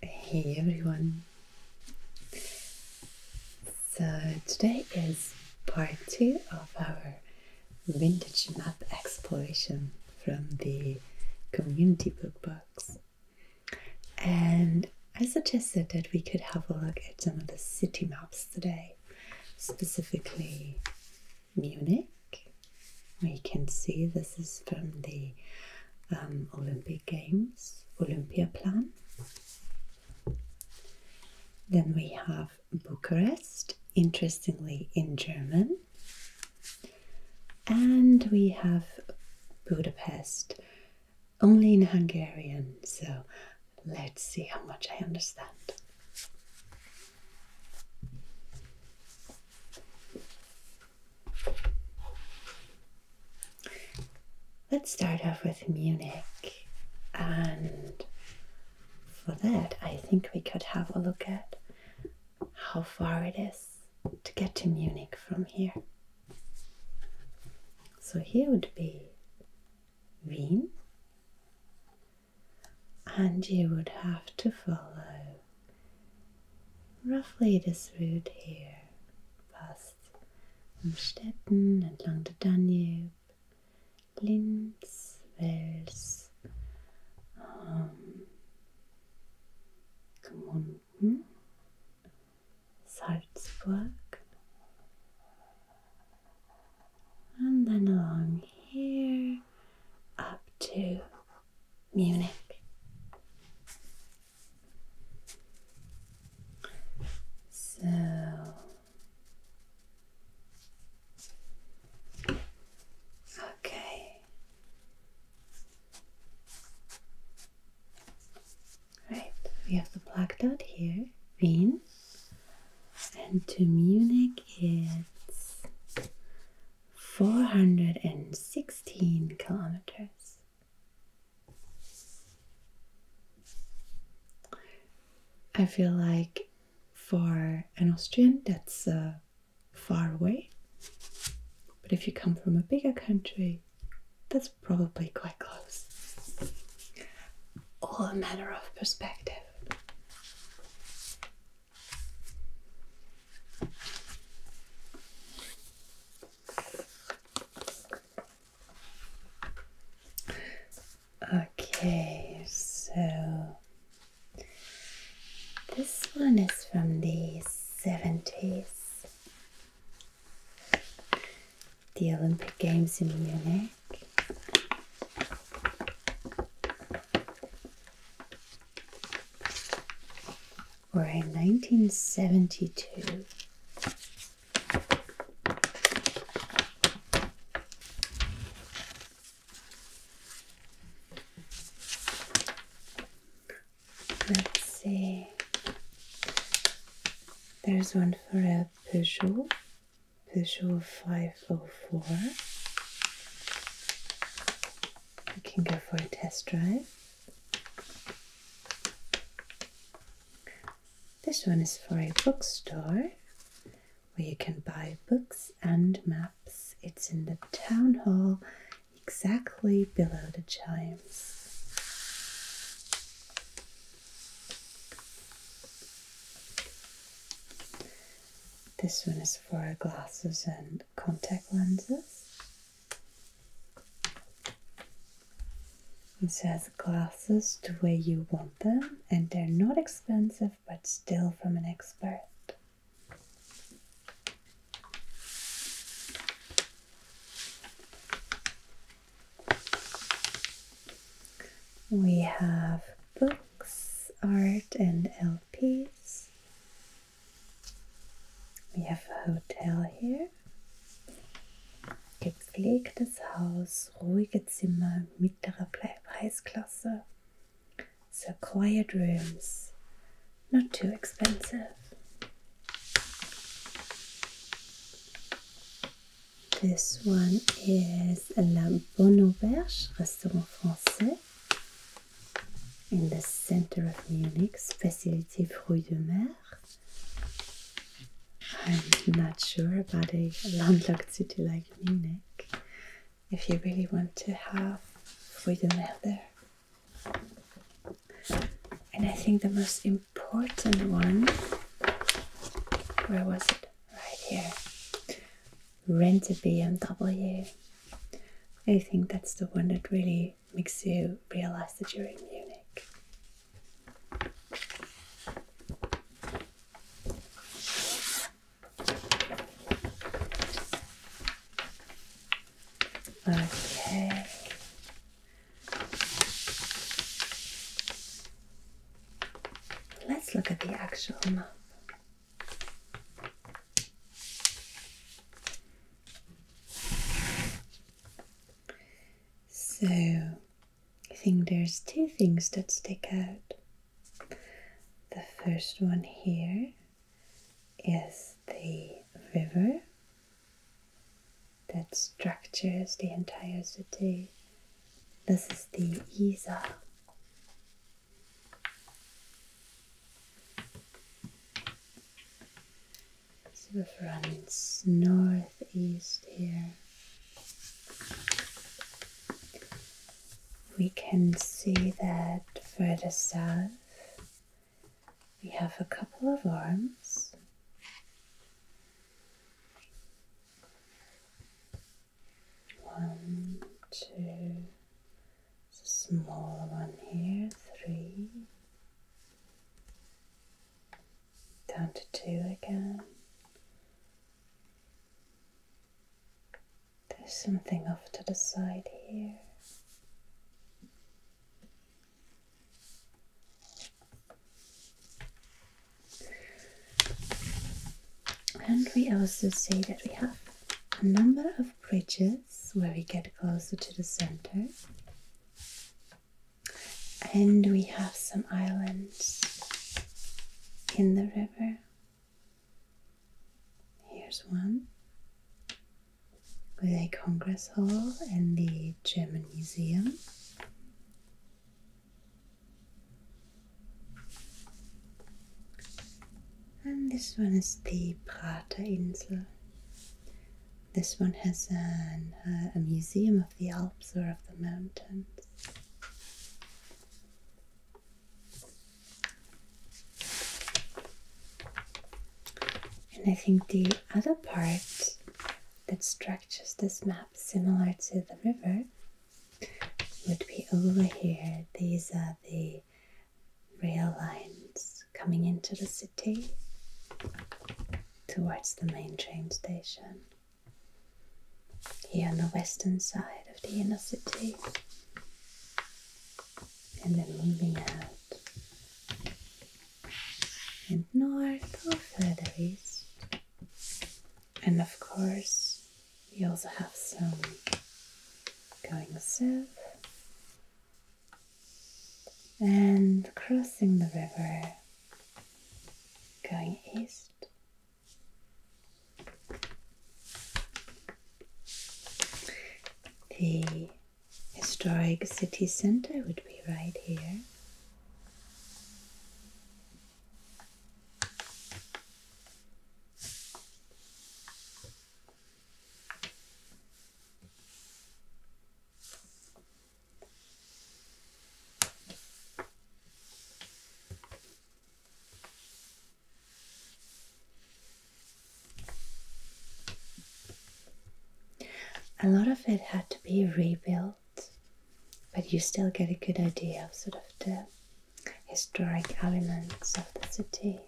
Hey everyone! So today is part two of our vintage map exploration from the community book box. And I suggested that we could have a look at some of the city maps today, specifically Munich we can see this is from the um, Olympic Games, Olympia plan. Then we have Bucharest, interestingly in German. And we have Budapest, only in Hungarian. So let's see how much I understand. Let's start off with Munich, and for that, I think we could have a look at how far it is to get to Munich from here. So, here would be Wien, and you would have to follow Roughly this route here passt Umstetten entlang der Danube, Linz, Wels, ähm, Gmunden, Salzburg, and then along here up to Munich. So okay. Right, we have the black dot here, Wien, and to Munich it's 416 kilometers. I feel like for an Austrian that's uh, far away, but if you come from a bigger country, that's probably quite close. All a matter of perspective. Okay, so this one is from the 70s. The Olympic Games in Munich or a 1972 Let's see. There's one for a Peugeot, Peugeot 504. You can go for a test drive. This one is for a bookstore where you can buy books and maps. It's in the town hall exactly below the chimes. This one is for glasses and contact lenses. It says glasses the way you want them, and they're not expensive but still from an expert. We have books, art, and LPs. We have a hotel here. Gepflegtes Haus, ruhige Zimmer, mittlere Preisklasse. So quiet rooms, not too expensive. This one is La Bonne Auberge, Restaurant Français in the center of Munich, facility Rue de Mer. I'm not sure about a landlocked city like Munich if you really want to have Rue de Mer there. And I think the most important one, where was it? Right here rent a BMW. I think that's the one that really makes you realize that you're in Munich. Okay. Let's look at the actual map. So, I think there's two things that stick out. The first one here is the river that structures the entire city. This is the Isar. So from its northeast here, we can see that further south we have a couple of arms. One, two, there's a small one here, three. Down to two again. There's something off to the side here. And we also see that we have a number of of bridges where we get closer to the center. And we have some islands in the river. Here's one with a congress hall and the German Museum and this one is the Prater Insel. This one has an, uh, a museum of the Alps or of the mountains. And I think the other part that structures this map similar to the river would be over here. These are the rail lines coming into the city towards the main train station. Here on the western side of the inner city, and then moving out and north or further east. And of course, we also have some going south and crossing the river, going east. The historic city center would be right here. A lot of it had to be rebuilt, but you still get a good idea of sort of the historic elements of the city.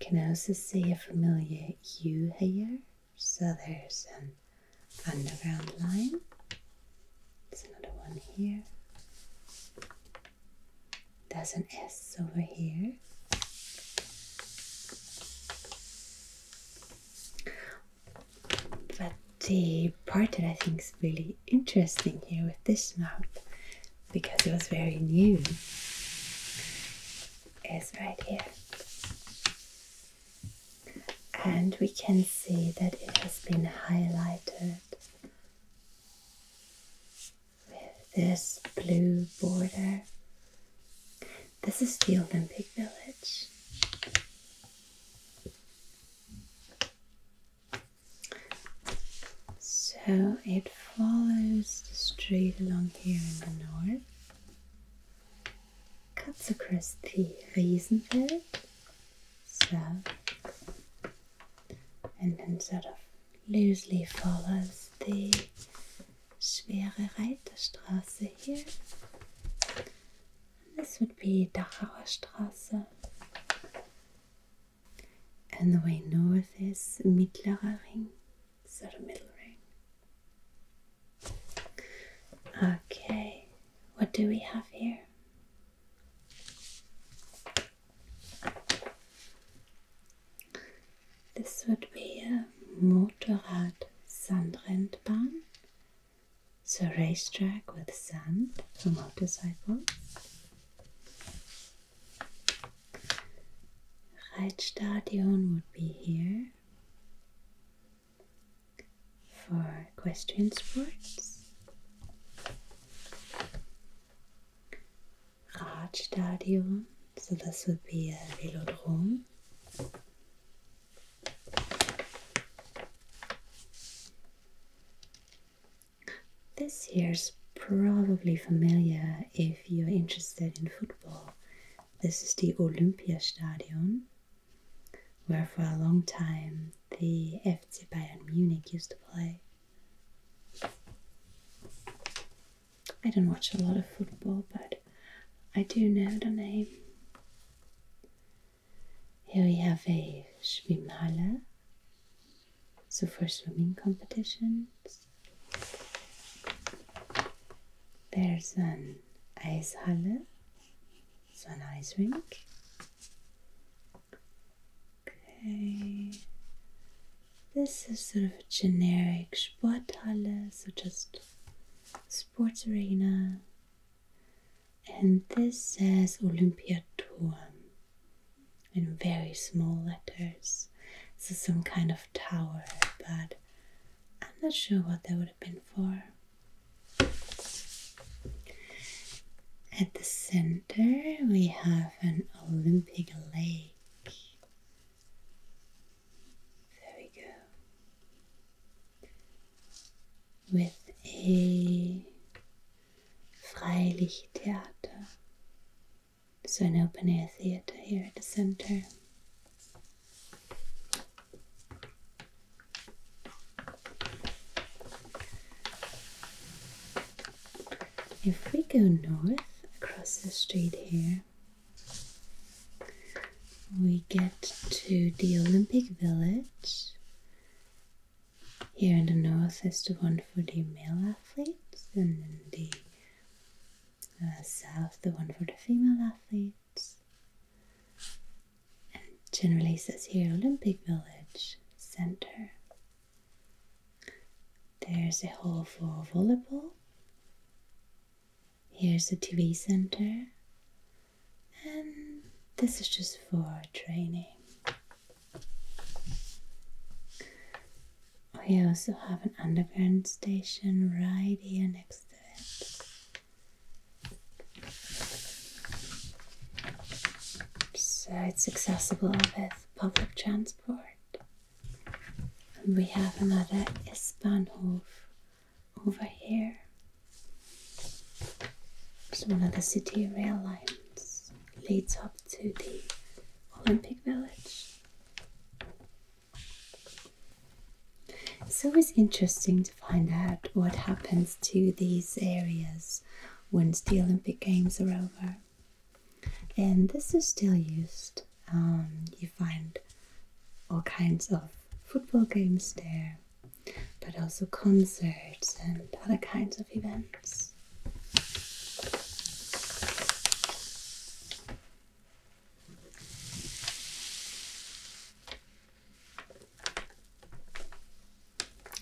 Can I also see a familiar U here, so there's an underground line. There's another one here. There's an S over here. But the part that I think is really interesting here with this map because it was very new is right here and we can see that it has been highlighted with this blue border this is the Olympic Village so it follows the street along here in the north, cuts across the Riesenfeld south, and then sort of loosely follows the Schwere Reiterstraße here. this would be Dachauer Straße and the way north is Mittlerer Ring, so middle ring. Okay, what do we have here? This would be a Motorrad Sandrennbahn, so racetrack with sand for motorcycles. Reitstadion would be here for equestrian sports. Radstadion, so this would be a velodrome. This here is probably familiar if you're interested in football. This is the Olympia Olympiastadion, where for a long time the FC Bayern Munich used to play. I don't watch a lot of football, but I do know the name. Here we have a Schwimmhalle so for swimming competitions, there's an ice hall, so an ice rink. Okay, this is sort of a generic hall, so just sports arena. And this says Olympiaturm in very small letters. This is some kind of tower, but I'm not sure what that would have been for. At the center, we have an Olympic lake. There we go. With a Freilichttheater. So an open air theater here at the center. If we go north across the street here, we get to the Olympic Village here in the north is the one for the male athletes, and in the uh, south, the one for the female athletes. And generally says here Olympic Village Center. There's a hall for volleyball. Here's the TV center. And this is just for training. We also have an underground station right here next to it. So it's accessible with public transport. And we have another Isbahnhof over here. It's one of the city rail lines leads up to the Olympic Village. So It's interesting to find out what happens to these areas once the Olympic Games are over. And this is still used. Um, you find all kinds of football games there, but also concerts and other kinds of events.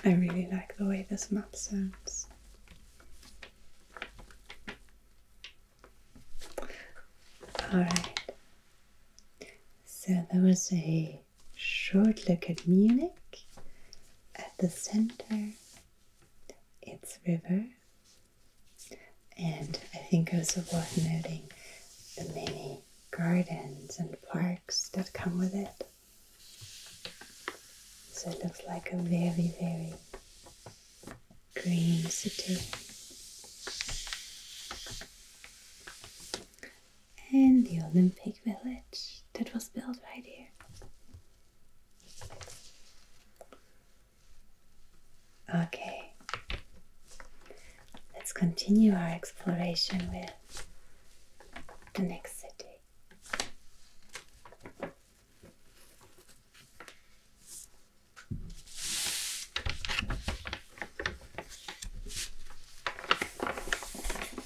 I really like the way this map sounds. All right, so there was a short look at Munich. At the center, its river, and I think also worth noting the many gardens and parks that come with it. So it looks like a very, very green city and the Olympic Village that was built right here. Okay, let's continue our exploration with the next city.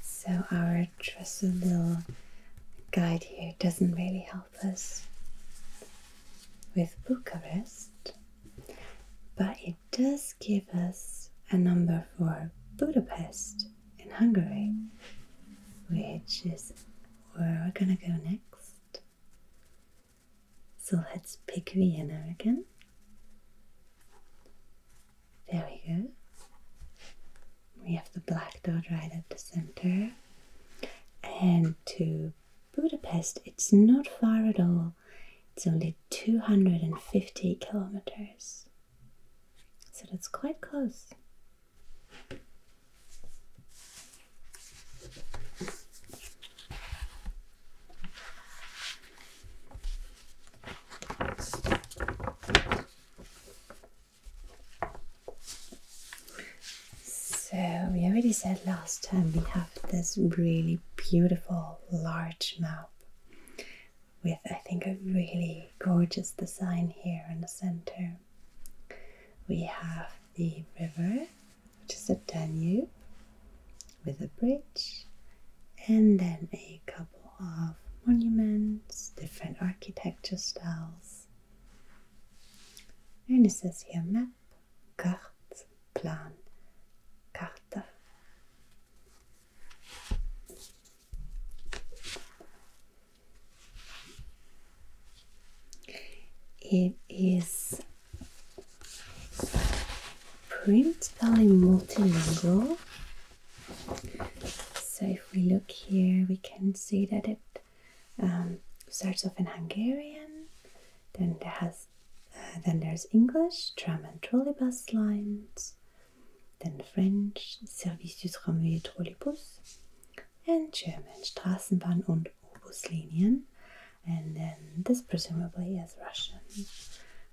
So, our trusted little guide here doesn't really help us with Bucharest, but it does give us a number for Budapest in Hungary, which is where we're gonna go next. So, let's pick Vienna again. There we go. We have the black dot right at the center. And to Budapest, it's not far at all. It's only 250 kilometers. So that's quite close. So, we already said last time we have this really beautiful large map with, I think, a really gorgeous design here in the center. We have the river, which is the Danube, with a bridge and then a couple of monuments, different architecture styles. And it says here map, carte, plan, carta. It is printed in multilingual so if we look here, we can see that it um, starts off in Hungarian. Then there has, uh, then there's English, tram and trolleybus lines. Then French, Service du Tramway Trolleybus, and German, Straßenbahn und Obuslinien. And then this presumably is Russian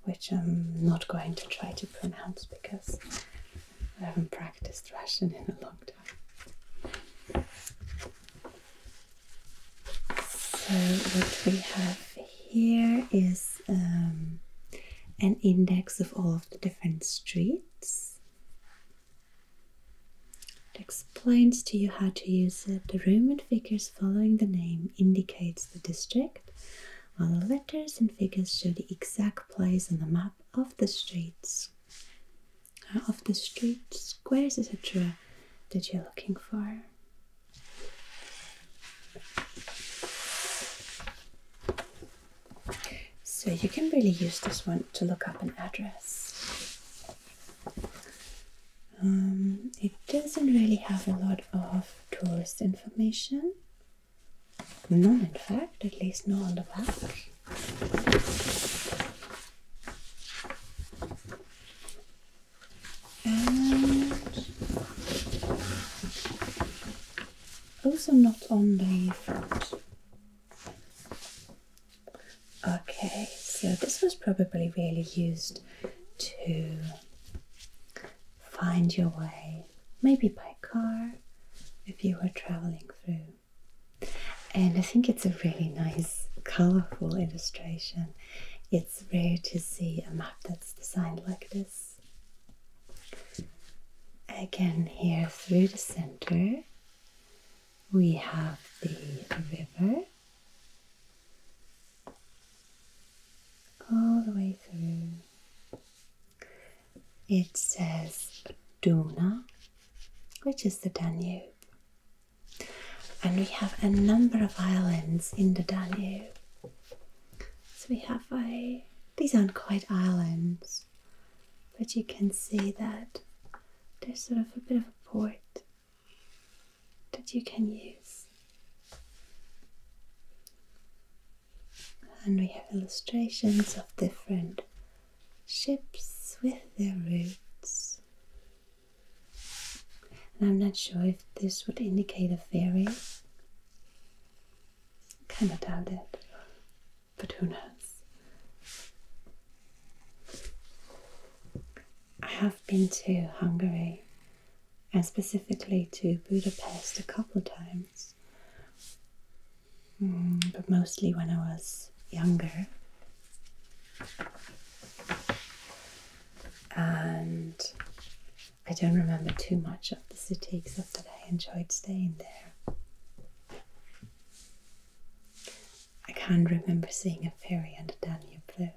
which I'm not going to try to pronounce because I haven't practiced Russian in a long time. So, what we have here is um, an index of all of the different streets. It explains to you how to use it. The Roman figures following the name indicates the district while the letters and figures show the exact place on the map of the streets, uh, of the street squares, etc., that you're looking for. So you can really use this one to look up an address. Um, it doesn't really have a lot of tourist information. None, in fact, at least no on the back. And also not on the front. Okay, so this was probably really used to find your way, maybe by car if you were traveling through. And I think it's a really nice, colorful illustration. It's rare to see a map that's designed like this. Again, here through the center, we have the river. all the way through it says Duna, which is the Danube. And we have a number of islands in the Danube. So we have a, these aren't quite islands, but you can see that there's sort of a bit of a port that you can use. And we have illustrations of different ships with their routes. And I'm not sure if this would indicate a ferry. Kinda doubt it, but who knows? I have been to Hungary and specifically to Budapest a couple times, mm, but mostly when I was younger. And I don't remember too much of the city except that I enjoyed staying there. I can't remember seeing a ferry on the Danube though.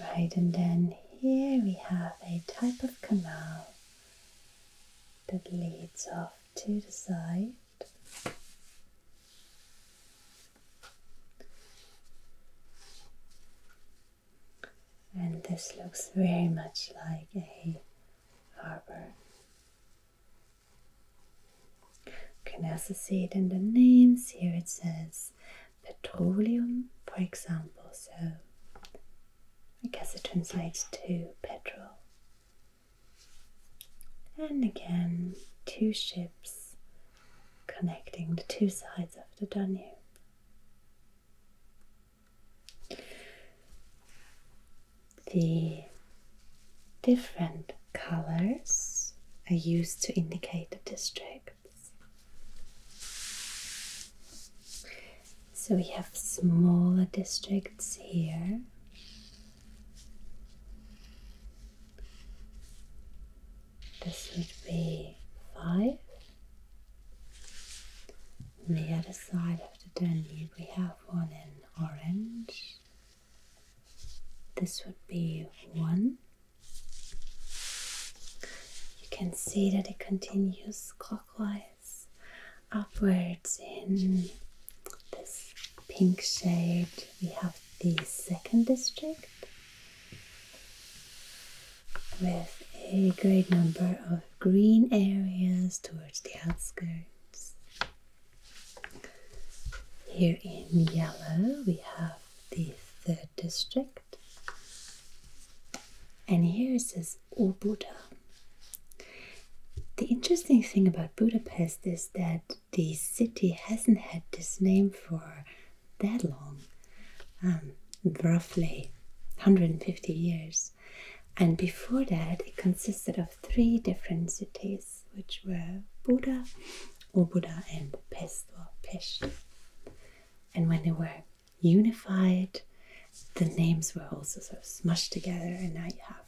Right, and then here we have a type of canal that leads off to the side. And this looks very much like a harbour. You can also see it in the names. Here it says petroleum, for example. So I guess it translates to petrol. And again, two ships connecting the two sides of the Danube. The different colors are used to indicate the district. So we have smaller districts here. This would be five. On the other side of the Danube, we have one in orange. This would be one. You can see that it continues clockwise upwards in this pink shade. We have the second district with a great number of green areas towards the outskirts. Here in yellow, we have the third district. And here it says O The interesting thing about Budapest is that the city hasn't had this name for that long, um, roughly 150 years. And before that, it consisted of three different cities, which were Buda, or and Pest or Pest, And when they were unified, the names were also sort of smushed together, and now you have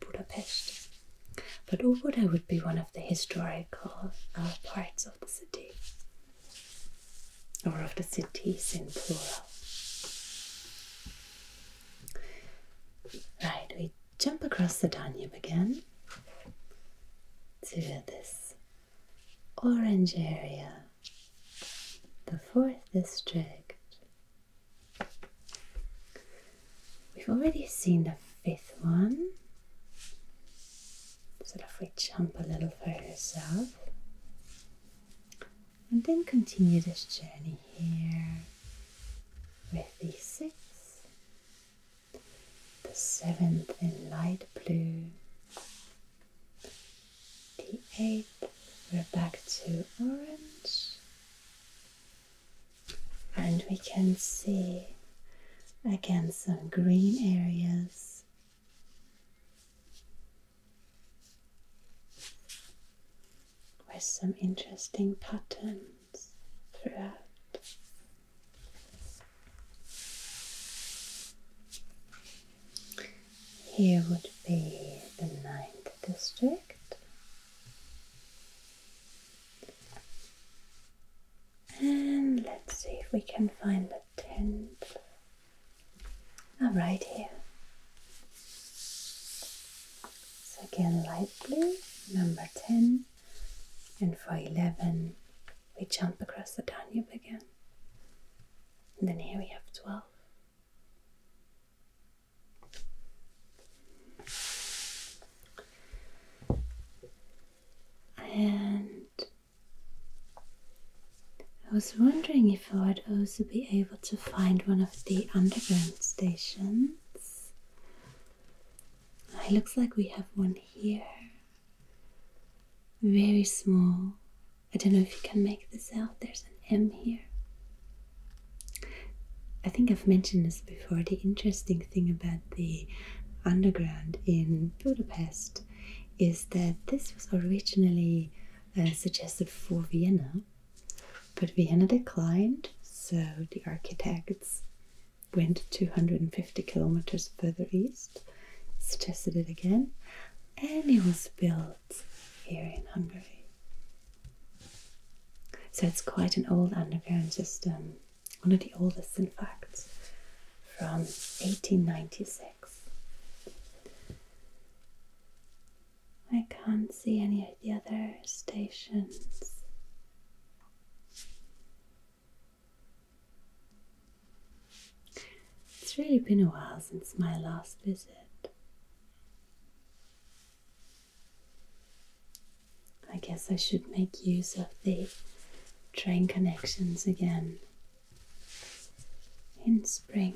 Budapest. But Obuda would be one of the historical uh, parts of the city, or of the cities in plural. Right, we jump across the Danube again to this orange area, the fourth district. We've already seen the fifth one, so if we jump a little further south and then continue this journey here with these six the seventh in light blue, the eighth, we're back to orange, and we can see again some green areas. With some interesting patterns throughout. Here would be the ninth district, and let's see if we can find the tenth. Ah, right here. So again, light blue, number ten and for 11 we jump across the Danube again. And then here we have 12. And I was wondering if I would also be able to find one of the underground stations. It looks like we have one here. Very small. I don't know if you can make this out. There's an M here. I think I've mentioned this before. The interesting thing about the underground in Budapest is that this was originally uh, suggested for Vienna, but Vienna declined, so the architects went 250 kilometers further east, it's tested it again, and it was built here in Hungary. So it's quite an old underground system, one of the oldest in fact, from 1896. I can't see any of the other stations. It's really been a while since my last visit. I guess I should make use of the train connections again in spring.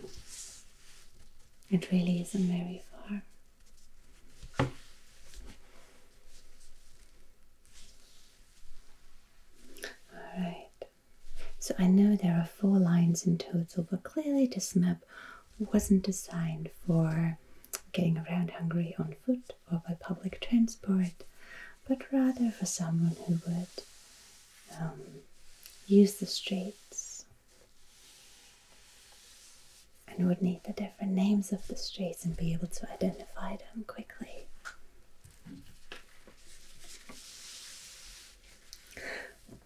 It really isn't very far. Alright, so I know there are four lines in total, but clearly this map wasn't designed for getting around Hungary on foot or by public transport, but rather for someone who would um, use the streets and would need the different names of the streets and be able to identify them quickly.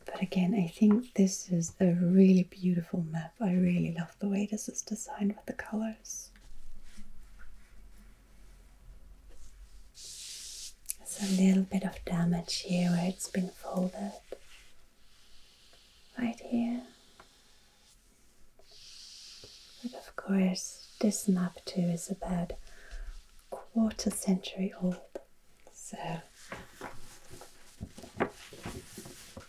But again, I think this is a really beautiful map. I really love the way this is designed with the colors. There's a little bit of damage here where it's been folded. Right here. But of course, this map too is about a quarter century old, so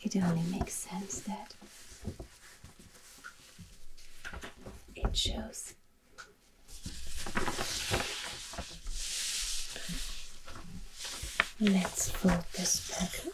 it only makes sense that it shows. Let's fold this back up.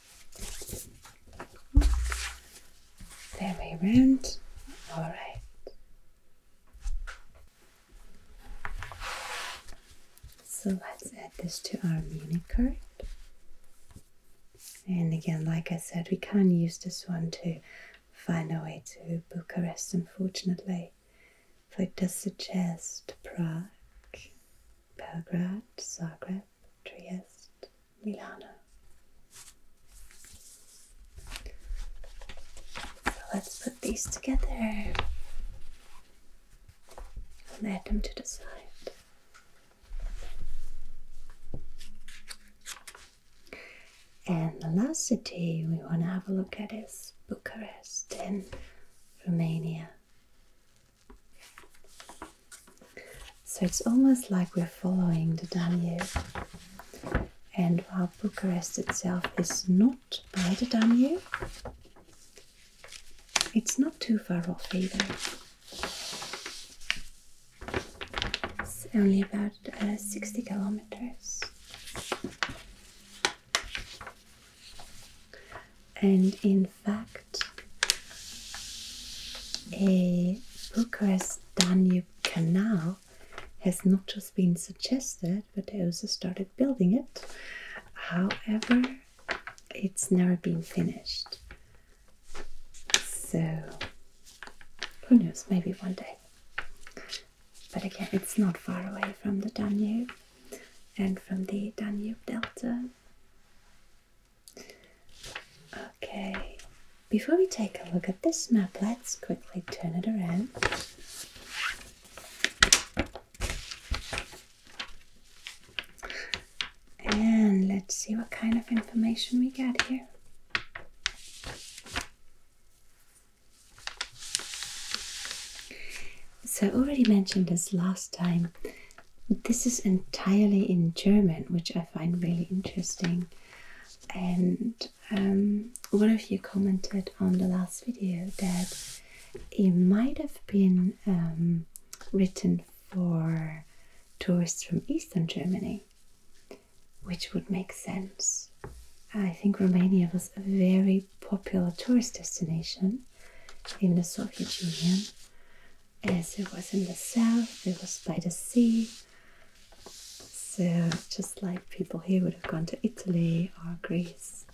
There we went. All right. So let's add this to our mini card. And again, like I said, we can't use this one to find our way to Bucharest, unfortunately. For it does suggest Prague, Belgrade, Zagreb, Trieste, Milan. So let's put these together and add them to the side. And the last city we want to have a look at is Bucharest in Romania. So it's almost like we're following the Danube. And while Bucharest itself is not by the Danube, it's not too far off either. It's only about uh, 60 kilometers. And in fact, a Bucharest Danube canal has not just been suggested, but they also started building it. However, it's never been finished. So, who knows, maybe one day. But again, it's not far away from the Danube and from the Danube Delta. Okay, before we take a look at this map, let's quickly turn it around. And let's see what kind of information we get here. So I already mentioned this last time this is entirely in German, which I find really interesting. And um, one of you commented on the last video that it might have been um, written for tourists from Eastern Germany, which would make sense. I think Romania was a very popular tourist destination in the Soviet Union as eh, it was in the south, it was by the sea. So, just like people here would have gone to Italy or Greece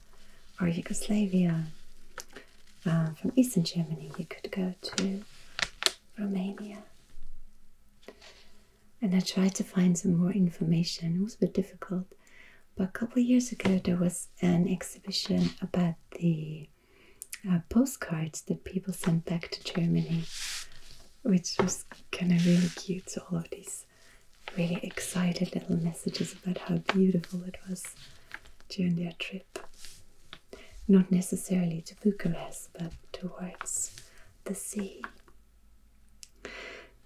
or Yugoslavia, uh, from Eastern Germany, you could go to Romania. And I tried to find some more information. It was a bit difficult. But a couple years ago, there was an exhibition about the postcards that people sent back to Germany, which was kind of really cute. So, all of these really excited little messages about how beautiful it was during their trip. Not necessarily to Bucharest, but towards the sea.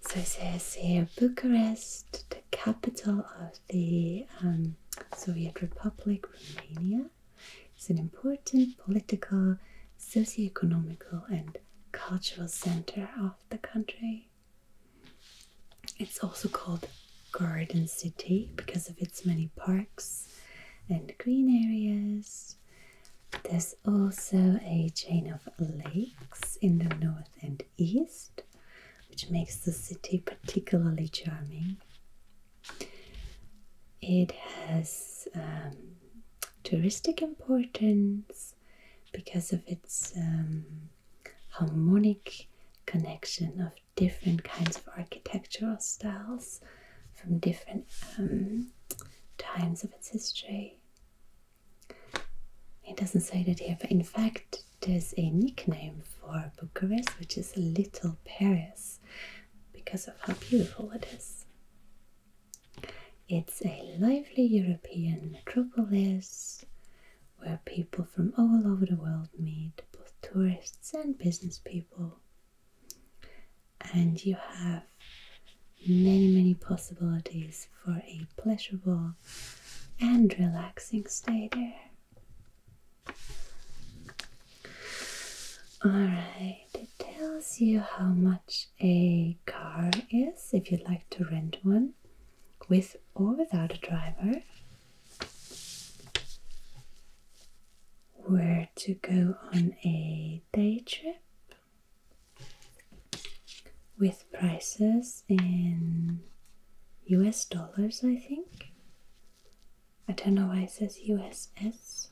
So it says here Bucharest, the capital of the um, Soviet Republic, Romania, it's an important political, socio-economical and cultural center of the country. It's also called Garden City because of its many parks and green areas. There's also a chain of lakes in the north and east, which makes the city particularly charming. It has um, touristic importance because of its um, harmonic connection of different kinds of architectural styles from different um, times of its history. It doesn't say that here, but in fact, there's a nickname for Bucharest, which is Little Paris, because of how beautiful it is. It's a lively European metropolis where people from all over the world meet, both tourists and business people. And you have many, many possibilities for a pleasurable and relaxing stay there. Alright, it tells you how much a car is if you'd like to rent one with or without a driver. Where to go on a day trip with prices in US dollars, I think. I don't know why it says USS,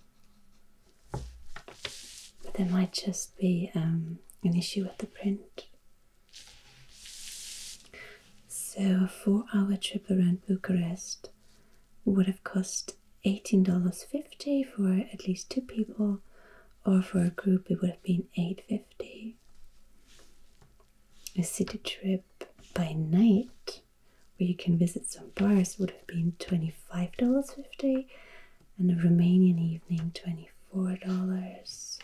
but there might just be um, an issue with the print. So, a four hour trip around Bucharest would have cost $18.50 for at least two people, or for a group, it would have been $8.50. A city trip by night where you can visit some bars would have been $25.50 and a Romanian evening $24.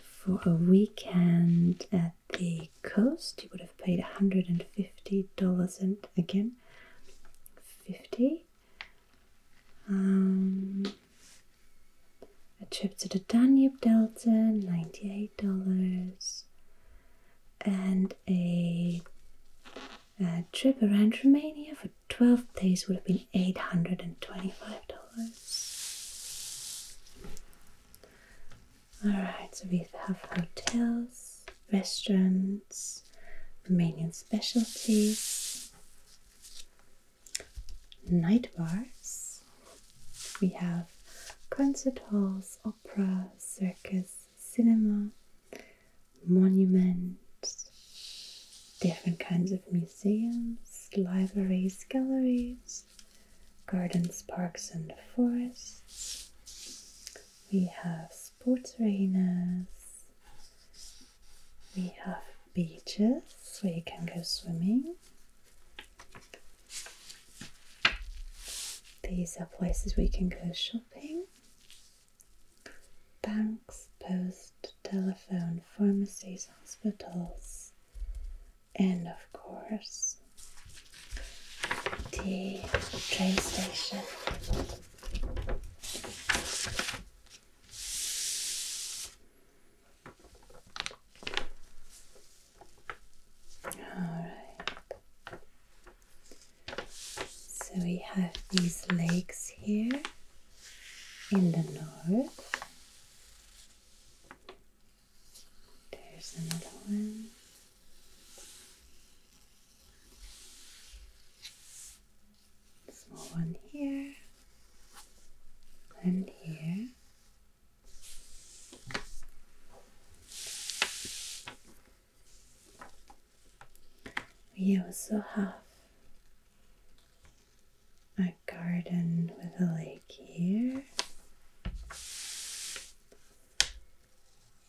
For a weekend at the coast you would have paid $150 and again 50 um, a trip to the Danube Delta, $98 and a, trip around Romania for 12 days would have been $825. Alright, so we have hotels, restaurants, Romanian specialties, night bars, we have concert halls, opera, Circus, Cinema, Monuments, different kinds of museums, libraries, galleries, gardens, parks, and forests. We have sports arenas. We have beaches where you can go swimming. These are places we can go shopping. Banks, post, telephone, pharmacies, hospitals, and of course the train station. Alright. So we have these legs here in the north. There's another one. Small one here and here. We also have a garden with a lake here,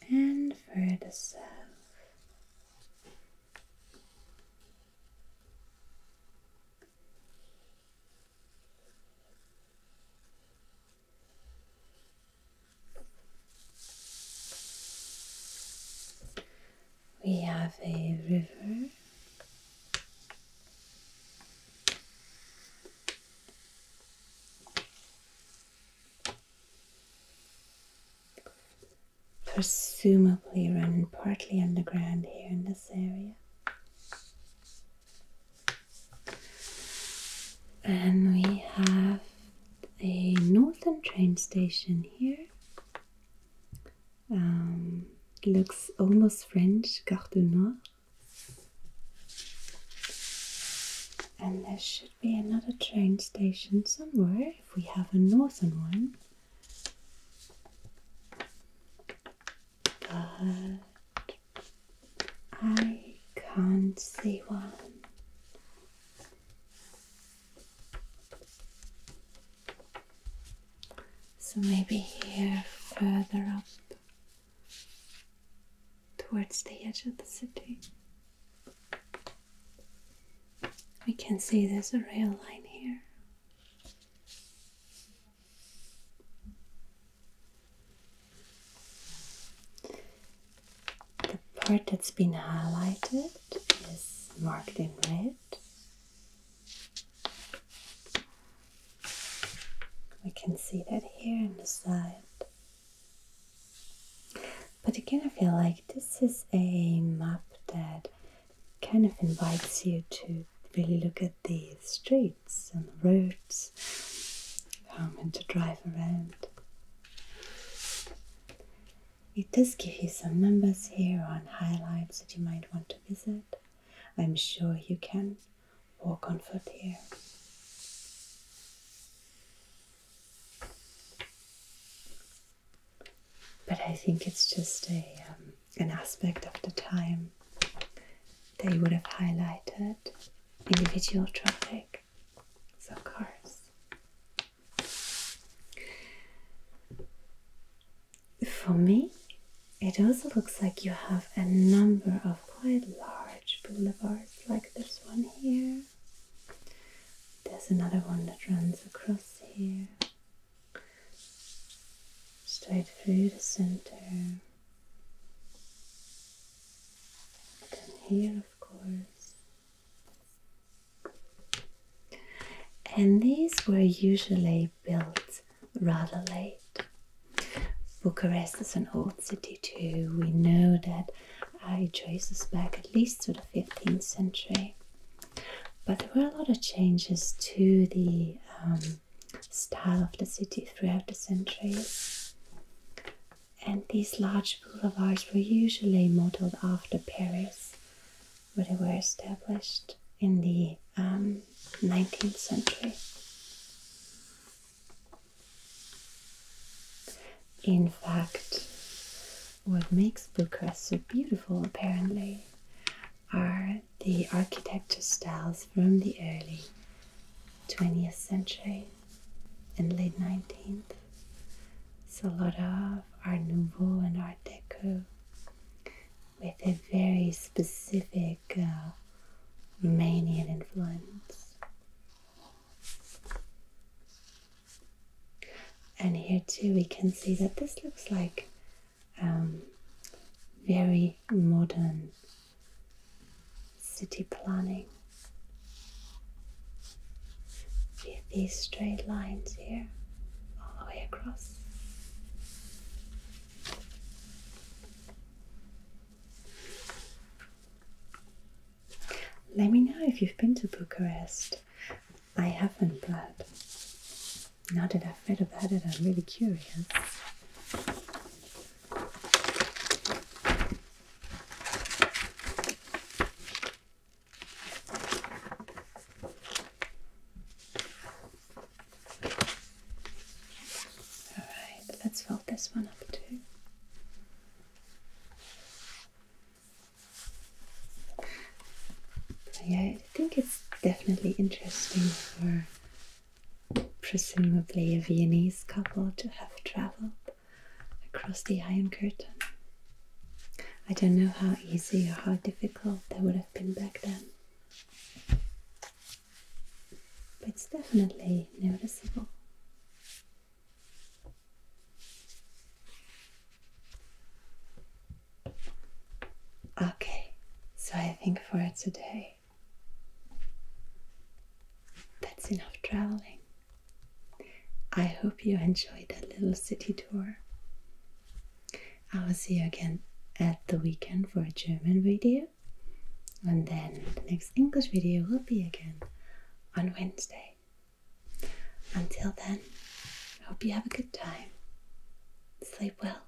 and further south. We have a river. Presumably running partly underground here in this area. And we have a northern train station here. Um, looks almost French, Gare du Nord. And there should be another train station somewhere if we have a northern one. I can't see one. So maybe here further up towards the edge of the city. We can see there's a rail line here. The part that's been highlighted is marked in red. We can see that here in the side. But again, I feel like this is a map that kind of invites you to really look at the streets and the roads, common to drive around. It does give you some numbers here on highlights that you might want to visit. I'm sure you can walk on foot here. But I think it's just a, um, an aspect of the time they would have highlighted individual traffic, so cars. For me, it also looks like you have a number of quite large boulevards, like this one here. There's another one that runs across here, straight through the center. Here, of course. And these were usually built rather late. Bucharest is an old city too. We know that it traces back at least to the 15th century. But there were a lot of changes to the um, style of the city throughout the centuries. And these large boulevards were usually modeled after Paris, where they were established in the 19th um, century. In fact, what makes Bucharest so beautiful, apparently, are the architecture styles from the early 20th century and late 19th. It's of Art Nouveau and Art Deco with a very specific uh, Romanian influence. And here too we can see that this looks like um, very modern city planning with these straight lines here all the way across. Let me know if you've been to Bucharest. I haven't, but now that I've read about it, I'm really curious. All right, let's fold this one up too. Yeah, I think it's definitely interesting for presumably a Viennese couple to have traveled across the Iron Curtain. I don't know how easy or how difficult that would have been back then. But it's definitely noticeable. Okay, so I think for today that's enough traveling. I hope you enjoyed that little city tour. I will see you again at the weekend for a German video, and then the next English video will be again on Wednesday. Until then, I hope you have a good time. Sleep well.